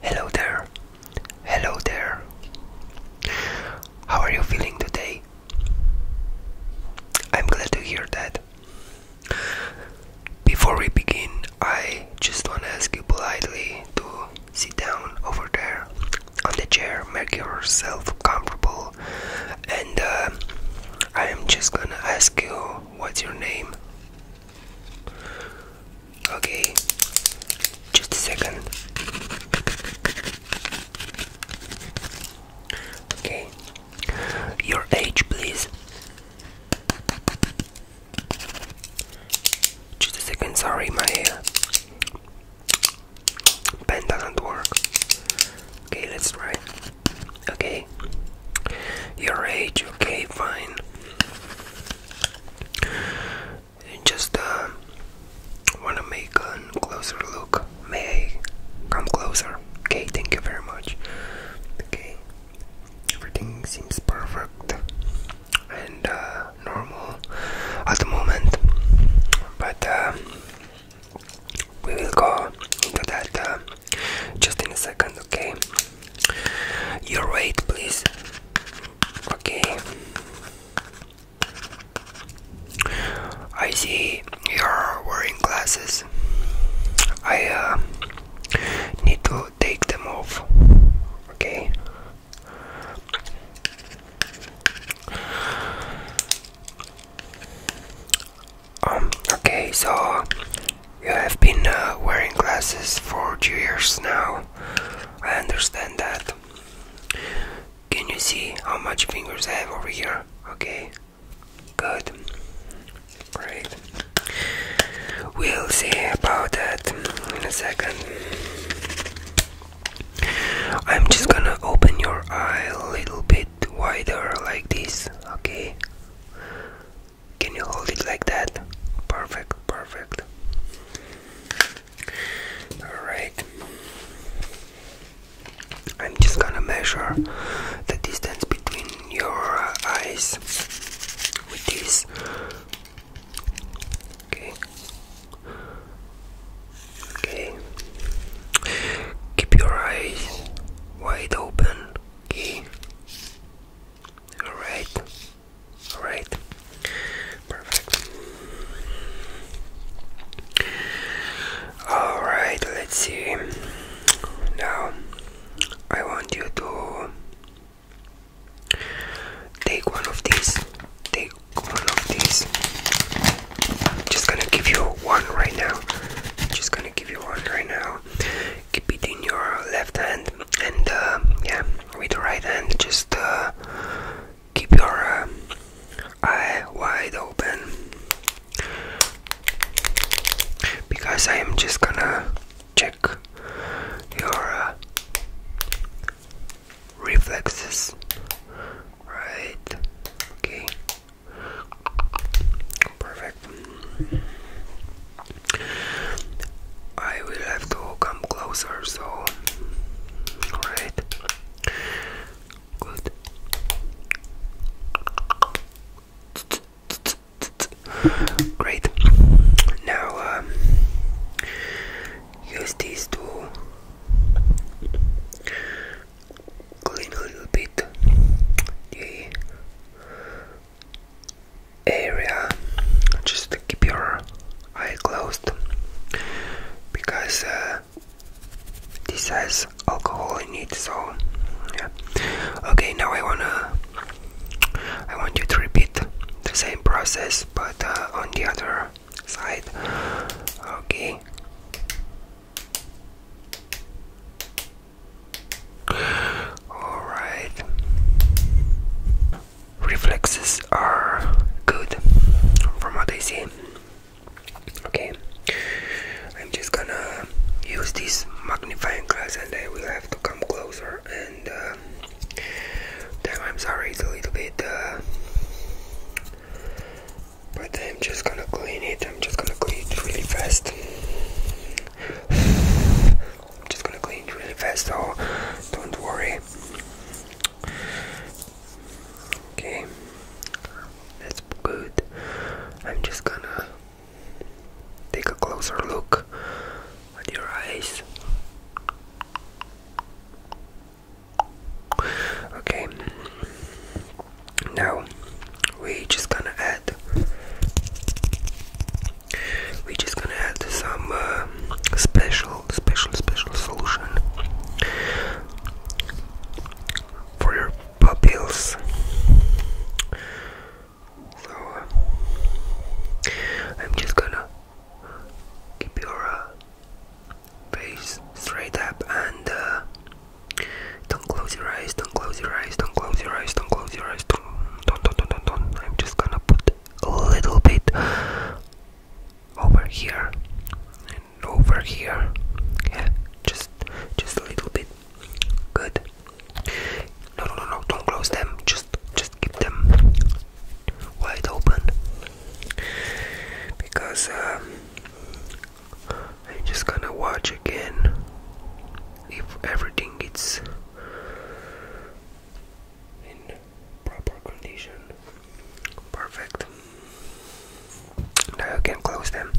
Hello there. Hello there. How are you feeling today? I'm glad to hear that. Before we begin, I just want to ask you politely to sit down over there on the chair, make yourself comfortable, and uh, I am just gonna ask you what's your name. Okay, just a second. Okay, your age, please. Just a second, sorry, my uh, pen doesn't work. Okay, let's try. Okay, your age, okay, fine. And just uh, wanna make a closer look. May come closer? Okay, thank you very much. Okay, everything seems perfect and uh, normal at the moment, but uh, we will go into that uh, just in a second, okay. Your weight, please. Okay. I see you're wearing glasses. I uh, need to take them off. Okay. Um, okay, so you have been uh, wearing glasses for two years now. I understand that. Can you see how much fingers I have over here? Okay, good. Great. We'll see about that in a second. I'm just gonna open your eye a little bit wider like this, okay? Can you hold it like that? Perfect, perfect. Alright. I'm just gonna measure the distance between your eyes with this. Okay. Okay. Keep your eyes wide open Okay. Alright. Alright. Perfect. Alright, let's see. Now, I want you to take one of these. Take one of these. I'm just gonna give you one right now. I'm just gonna give you one right now keep it in your left hand and uh, yeah with the right hand just uh, keep your uh, eye wide open because I am just gonna check your reflexes right okay Perfect. I will have to come closer, so. Alright. Good. Great. Now um, use these to clean a little bit the area just keep your eye closed because uh, this has alcohol in it so okay now I wanna I want you to repeat the same process but uh, on the other side okay all right. Reflexes are good from what I see. Okay, I'm just gonna use this magnifying glass and I will have to come closer. And uh, damn, I'm sorry, it's a little bit uh, but I'm just gonna clean it. I'm just gonna clean it really fast. I'm just gonna clean it really fast, so don't worry. Okay, that's good. I'm just gonna take a closer look at your eyes. Okay, now we just gonna add we just gonna add some uh, special special special solution for your pupils so uh, I'm just gonna keep your uh, Face straight up and uh, don't close your eyes, don't close your eyes, don't close your eyes, don't close your eyes, don't, don't, don't, don't, don't, I'm just gonna put a little bit over here and over here. Yeah, just, just a little bit. Good. No, no, no, no, don't close them. Just, just keep them wide open because. Um, I'm just gonna watch again if everything is in proper condition. Perfect. Now I can close them.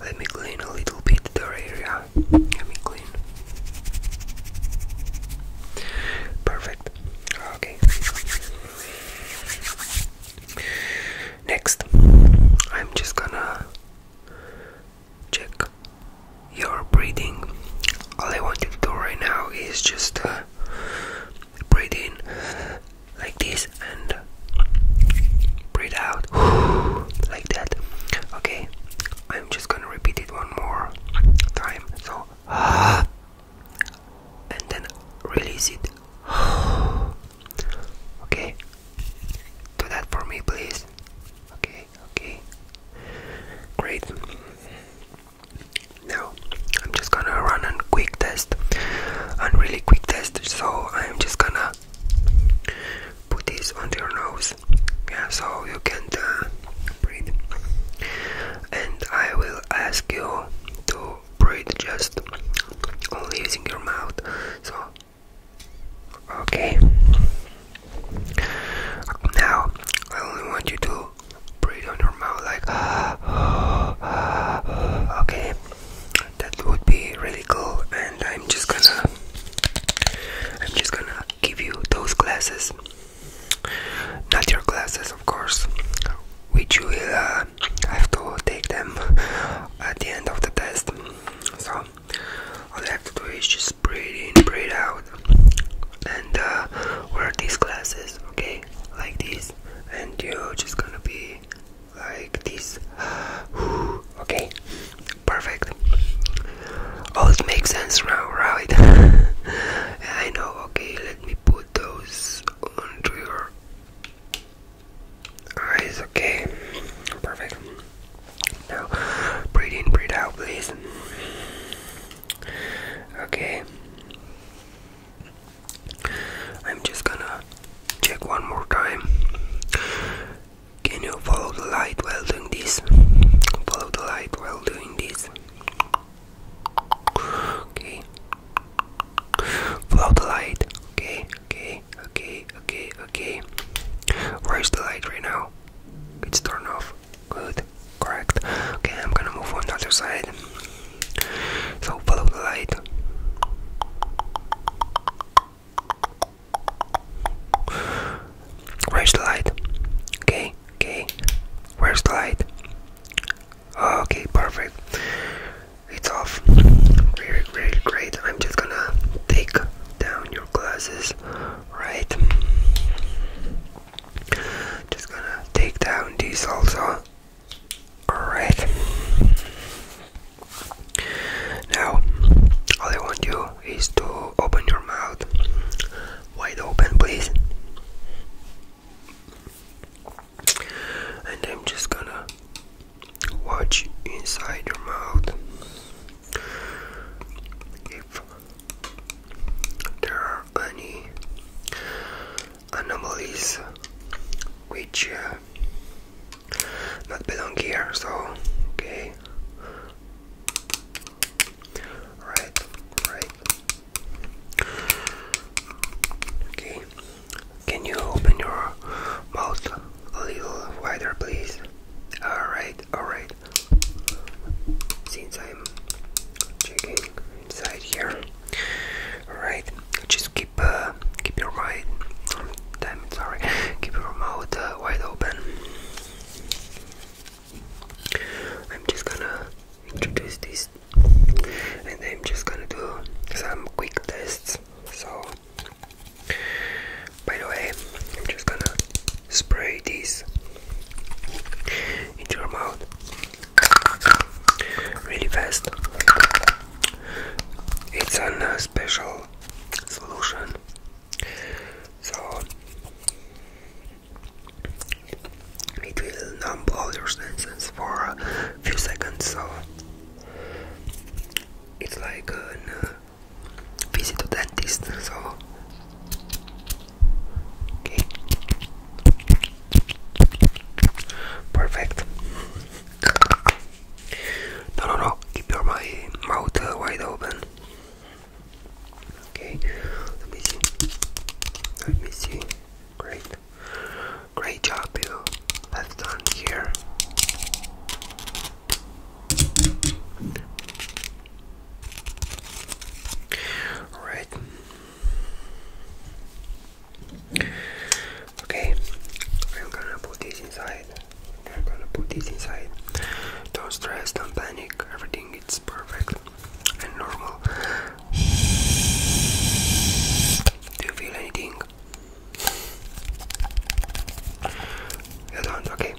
Let me clean a little bit the area. Let me clean. Perfect. Okay. Next, I'm just gonna check your breathing. All I want you to do right now is just uh, breathe in like this and breathe out like that. Okay, I'm just gonna repeat it one more time. So, and then release it. okay, do that for me, please. Okay, okay, great. Now I'm just gonna run a quick test, a really quick test. So I'm just gonna put this on your nose, yeah, so you can uh, breathe. And I will ask you to to breathe just only using your mouth. So, okay. Now, I only want you to breathe on your mouth like okay. That would be really cool, and I'm just gonna, I'm just gonna give you those glasses. Not your glasses, of course, which you uh, will have to take them at the end of the test. So, all you have to do is just breathe in, breathe out, and uh, wear these glasses, okay? Like this, and you're just gonna be like this. okay, perfect. All oh, it makes sense now, right? I know, okay, let me put those onto your eyes, okay? Perfect. Now, breathe in, breathe out, please. Okay. I'm just gonna check one more time. Can you follow the light while doing this? Follow the light while doing this. Okay. Follow the light. Okay, okay, okay, okay, okay. Where's the light right now? It's turned off. Good, correct. Okay, I'm gonna move on the other side. So follow the light. Where's the light? Okay, Okay, where's the light? Oh, okay, perfect. It's off. Really, really great. I'm just gonna take down your glasses, right? Just gonna take down these also. Alright. Now, all I want you is to open your mouth wide open please and I'm just gonna watch inside your mouth if there are any anomalies which uh, not belong here so okay Right, right. Okay. Can you open your mouth a little wider, please? Alright, alright. Since I'm checking inside here. Alright, just keep uh, keep your mind. Um, damn sorry. Keep your mouth uh, wide open. I'm just gonna introduce this and I'm just gonna do some quick tests. So, by the way, I'm just gonna spray this into your mouth really fast. It's a special solution. So it will numb all your senses for a few seconds, so it's like a uh, visit to dentist. So, okay, perfect. No, no, no. Keep your my mouth uh, wide open. Okay, let me see. Let me see. Great. Great job, Bill. That's done here. Alright. Okay, I'm gonna put this inside I'm gonna put this inside. Don't stress, don't panic, everything is perfect and normal. Do you feel anything? You do Okay.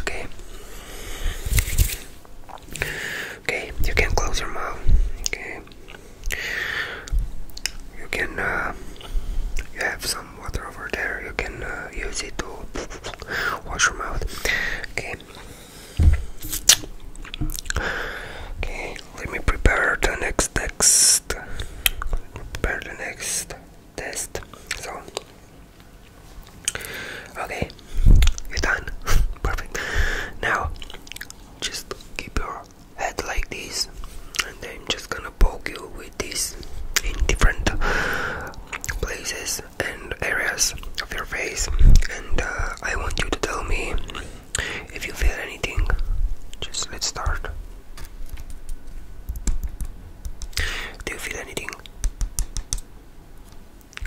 Okay. Okay, you can close your mouth. Okay. You can uh, you have some water over there. You can uh, use it to wash your mouth. Okay. Okay, let me prepare the next text. Prepare the next test. So, okay, you're done. Perfect. Now, just keep your head like this, and then I'm just gonna poke you with this in different places and areas of your face. And uh, I want you to tell me if you feel anything. Just let's start. Do you feel anything?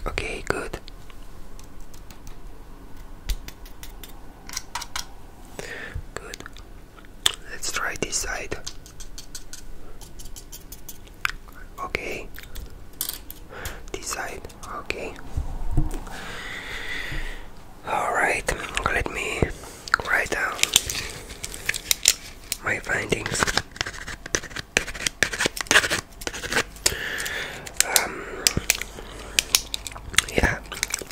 Okay, good. Good. Let's try this side. Okay. This side. Okay. All right. Let me write down um, my findings. Um, yeah,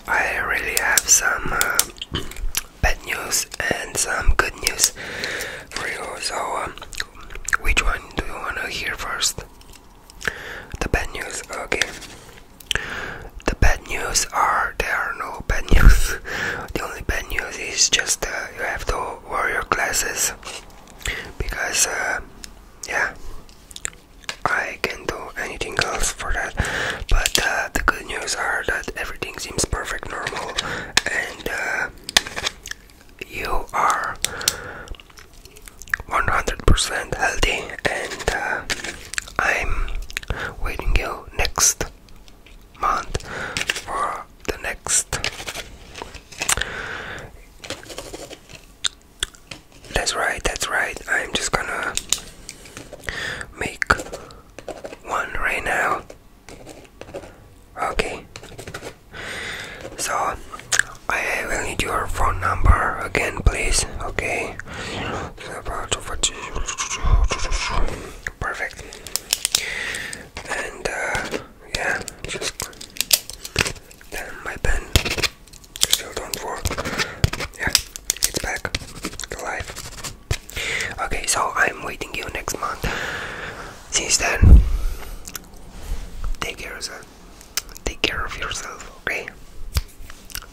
I really have some uh, bad news and some good news for you. So, um, which one do you want to hear first? The bad news, okay. The bad bad news are there are no bad news. the only bad news is just uh, you have to wear your glasses because uh, yeah, I can do anything else for that. But uh, the good news are that everything seems perfect, normal, and you are 100% healthy and I'm waiting you next month for the next. That's right, that's right. I'm just gonna make one right now. Okay. So I will need your phone number again, please. Okay perfect. And uh, yeah, just then my pen still don't work. Yeah, it's back to life. Okay, so I'm waiting you next month. Since then, take care Take care of yourself. Okay.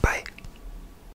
Bye.